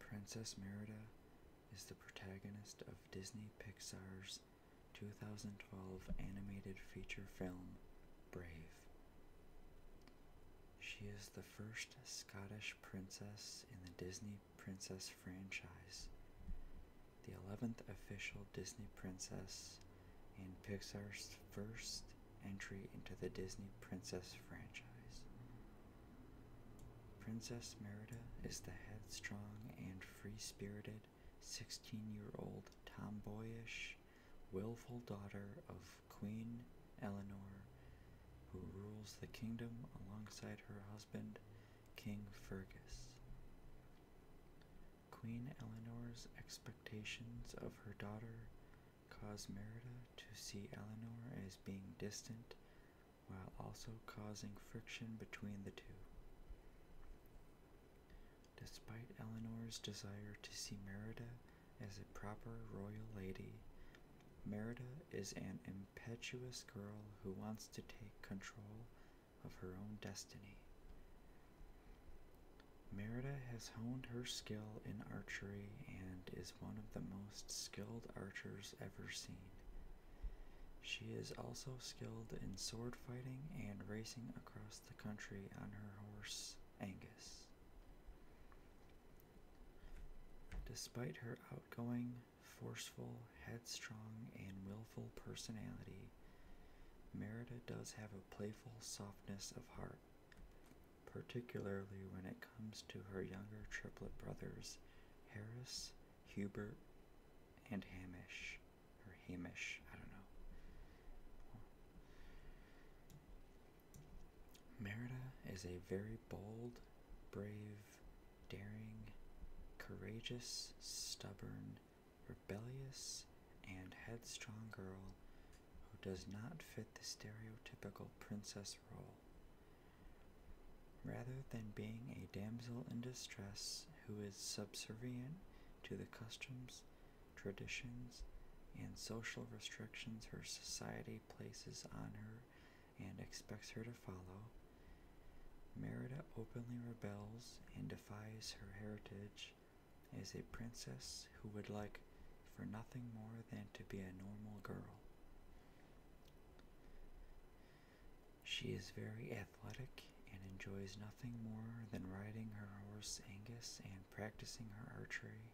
Princess Merida is the protagonist of Disney Pixar's 2012 animated feature film Brave. She is the first Scottish princess in the Disney Princess franchise, the 11th official Disney princess, and Pixar's first entry into the Disney Princess franchise. Princess Merida is the headstrong and free spirited 16 year old tomboyish, willful daughter of Queen Eleanor, who rules the kingdom alongside her husband, King Fergus. Queen Eleanor's expectations of her daughter caused Merida to see Eleanor as being distant while also causing friction between the two. Despite Eleanor's desire to see Merida as a proper royal lady, Merida is an impetuous girl who wants to take control of her own destiny. Merida has honed her skill in archery and is one of the most skilled archers ever seen. She is also skilled in sword fighting and racing across the country on her horse Angus. Despite her outgoing, forceful, headstrong, and willful personality, Merida does have a playful softness of heart particularly when it comes to her younger triplet brothers, Harris, Hubert, and Hamish, or Hamish, I don't know. Merida is a very bold, brave, daring, courageous, stubborn, rebellious, and headstrong girl who does not fit the stereotypical princess Rather than being a damsel in distress who is subservient to the customs, traditions, and social restrictions her society places on her and expects her to follow, Merida openly rebels and defies her heritage as a princess who would like for nothing more than to be a normal girl. She is very athletic and enjoys nothing more than riding her horse Angus and practicing her archery,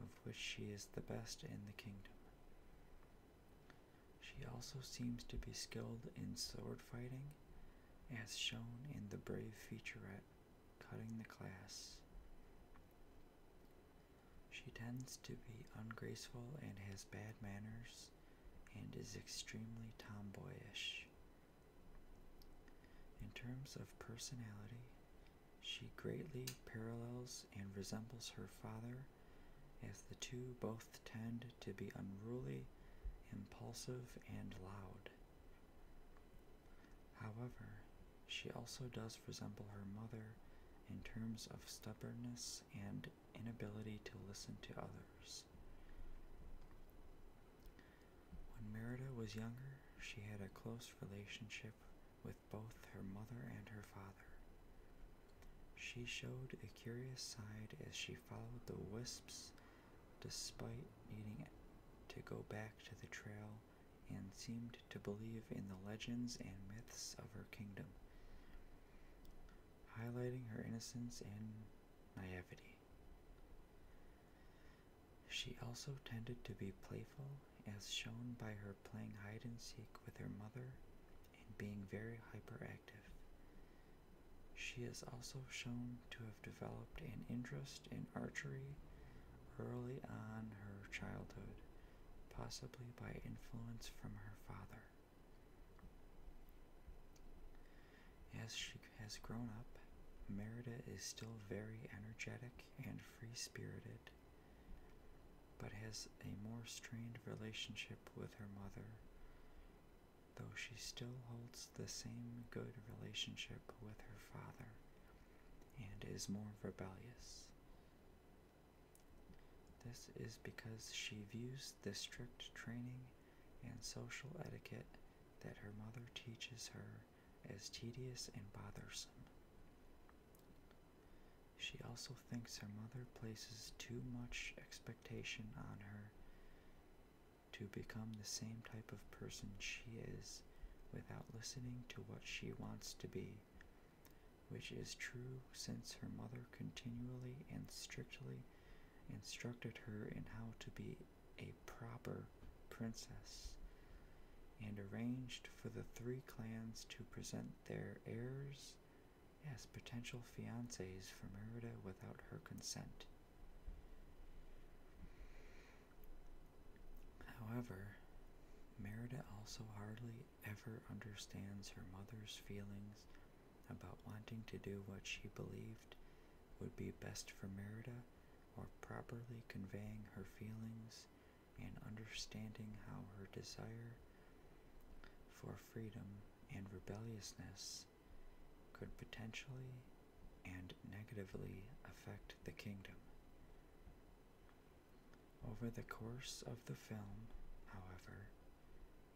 of which she is the best in the kingdom. She also seems to be skilled in sword fighting, as shown in the brave featurette Cutting the Class. She tends to be ungraceful and has bad manners and is extremely tomboyish. In terms of personality, she greatly parallels and resembles her father, as the two both tend to be unruly, impulsive, and loud. However, she also does resemble her mother in terms of stubbornness and inability to listen to others. When Merida was younger, she had a close relationship with both her mother and her father. She showed a curious side as she followed the wisps despite needing to go back to the trail and seemed to believe in the legends and myths of her kingdom, highlighting her innocence and naivety. She also tended to be playful, as shown by her playing hide and seek with her mother and being very hyperactive. She is also shown to have developed an interest in archery early on her childhood, possibly by influence from her father. As she has grown up, Merida is still very energetic and free spirited, but has a more strained relationship with her mother, though she still holds the same good relationship with her father and is more rebellious. This is because she views the strict training and social etiquette that her mother teaches her as tedious and bothersome. She also thinks her mother places too much expectation on her to become the same type of person she is without listening to what she wants to be, which is true since her mother continually and strictly instructed her in how to be a proper princess and arranged for the three clans to present their heirs as potential fiancés for Merida without her consent. However, Merida also hardly ever understands her mother's feelings about wanting to do what she believed would be best for Merida or properly conveying her feelings and understanding how her desire for freedom and rebelliousness could potentially and negatively affect the kingdom. Over the course of the film, however,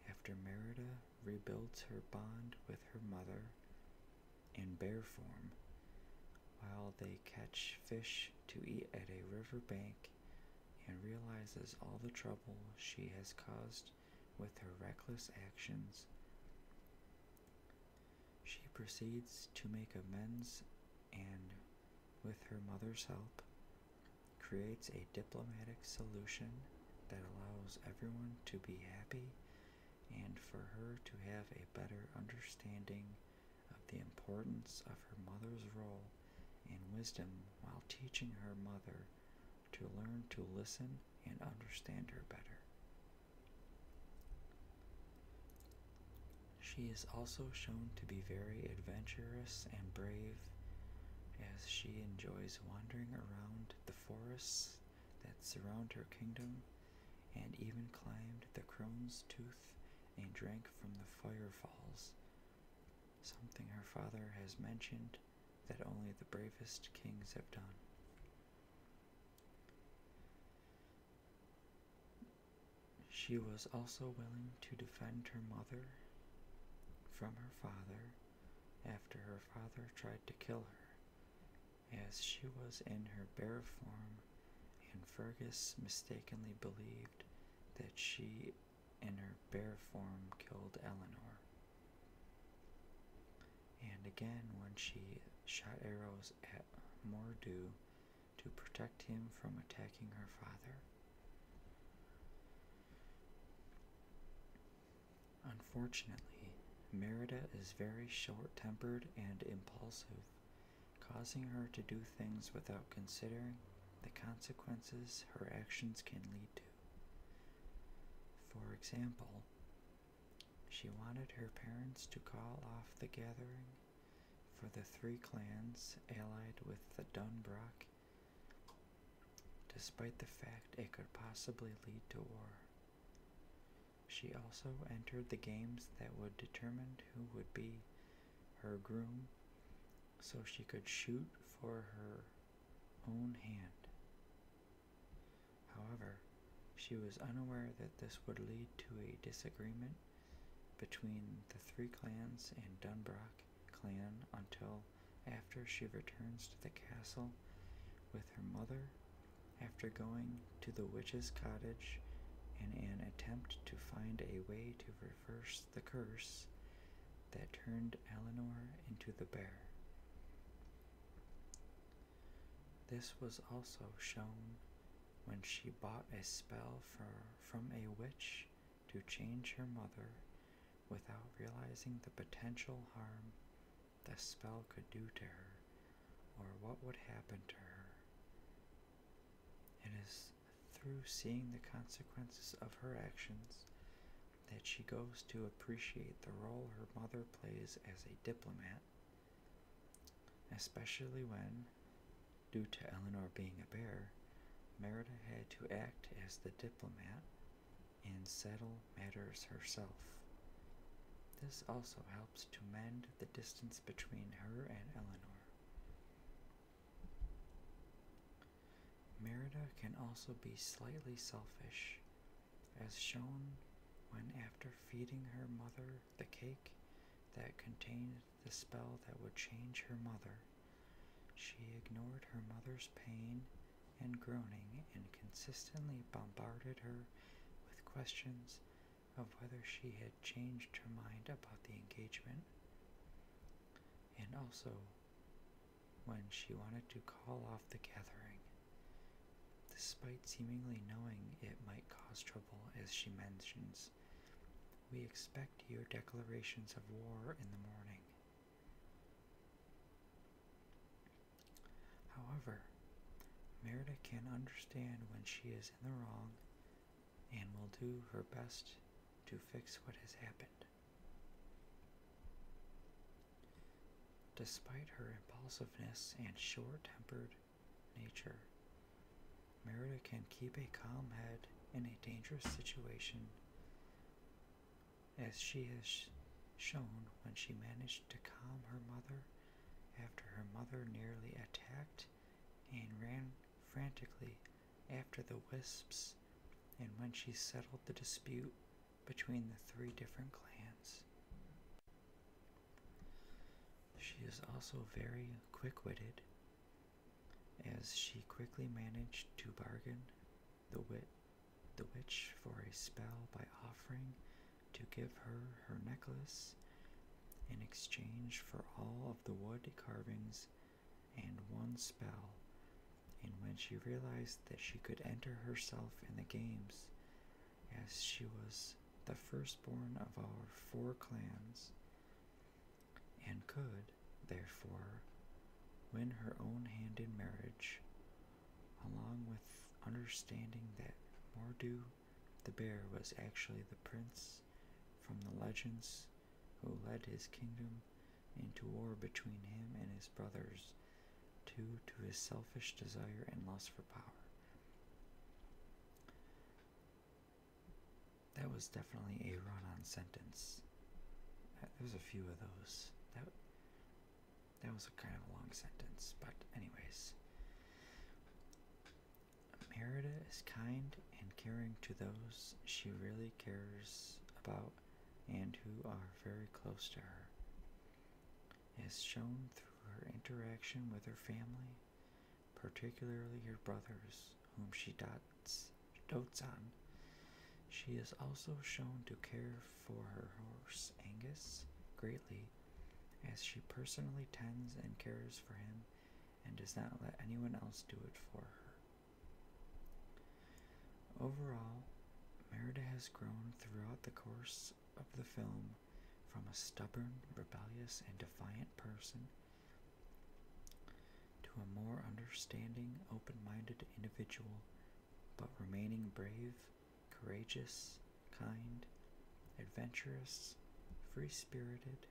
after Merida rebuilds her bond with her mother in bear form, while they catch fish to eat at a river bank, and realizes all the trouble she has caused with her reckless actions, she proceeds to make amends and, with her mother's help, creates a diplomatic solution that allows everyone to be happy and for her to have a better understanding of the importance of her mother's role and wisdom while teaching her mother to learn to listen and understand her better. She is also shown to be very adventurous and brave as she enjoys wandering around the forests that surround her kingdom and even climbed the crone's tooth and drank from the firefalls, something her father has mentioned that only the bravest kings have done. She was also willing to defend her mother from her father after her father tried to kill her, as she was in her bear form, and Fergus mistakenly believed that she in her bear form killed Eleanor and again when she shot arrows at Mordu to protect him from attacking her father. Unfortunately, Merida is very short tempered and impulsive, causing her to do things without considering the consequences her actions can lead to. For example, she wanted her parents to call off the gathering, for the three clans allied with the Dunbroch, despite the fact it could possibly lead to war. She also entered the games that would determine who would be her groom so she could shoot for her own hand. However, she was unaware that this would lead to a disagreement between the three clans and Dunbroch clan until after she returns to the castle with her mother after going to the witch's cottage in an attempt to find a way to reverse the curse that turned Eleanor into the bear. This was also shown when she bought a spell for, from a witch to change her mother without realizing the potential harm the spell could do to her or what would happen to her. It is through seeing the consequences of her actions that she goes to appreciate the role her mother plays as a diplomat especially when, due to Eleanor being a bear, Merida had to act as the diplomat and settle matters herself. This also helps to mend the distance between her and Eleanor. Merida can also be slightly selfish as shown when, after feeding her mother the cake that contained the spell that would change her mother, she ignored her mother's pain and groaning and consistently bombarded her with questions of whether she had changed her mind about the engagement. And also, when she wanted to call off the gathering. Despite seemingly knowing it might cause trouble, as she mentions, we expect your declarations of war in the morning. However, Merida can understand when she is in the wrong and will do her best to fix what has happened. Despite her impulsiveness and short tempered nature, Merida can keep a calm head in a dangerous situation, as she has shown when she managed to calm her mother after her mother nearly attacked and ran frantically after the wisps, and when she settled the dispute between the three different clans. She is also very quick witted, as she quickly managed to bargain the, wit the witch for a spell by offering to give her her necklace in exchange for all of the wood carvings and one spell. And when she realized that she could enter herself in the games, as she was the firstborn of our four clans, and could, therefore, win her own hand in marriage, along with understanding that Mordu the bear was actually the prince from the legends who led his kingdom into war between him and his brothers due to his selfish desire and lust for power. That was definitely a run-on sentence. Uh, There's a few of those. That that was a kind of a long sentence, but anyways. Merida is kind and caring to those she really cares about and who are very close to her as shown through her interaction with her family, particularly her brothers, whom she dots, dotes on. She is also shown to care for her horse Angus greatly, as she personally tends and cares for him and does not let anyone else do it for her. Overall, Merida has grown throughout the course of the film from a stubborn, rebellious, and defiant person to a more understanding, open minded individual, but remaining brave, courageous, kind, adventurous, free spirited,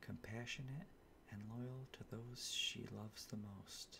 compassionate, and loyal to those she loves the most.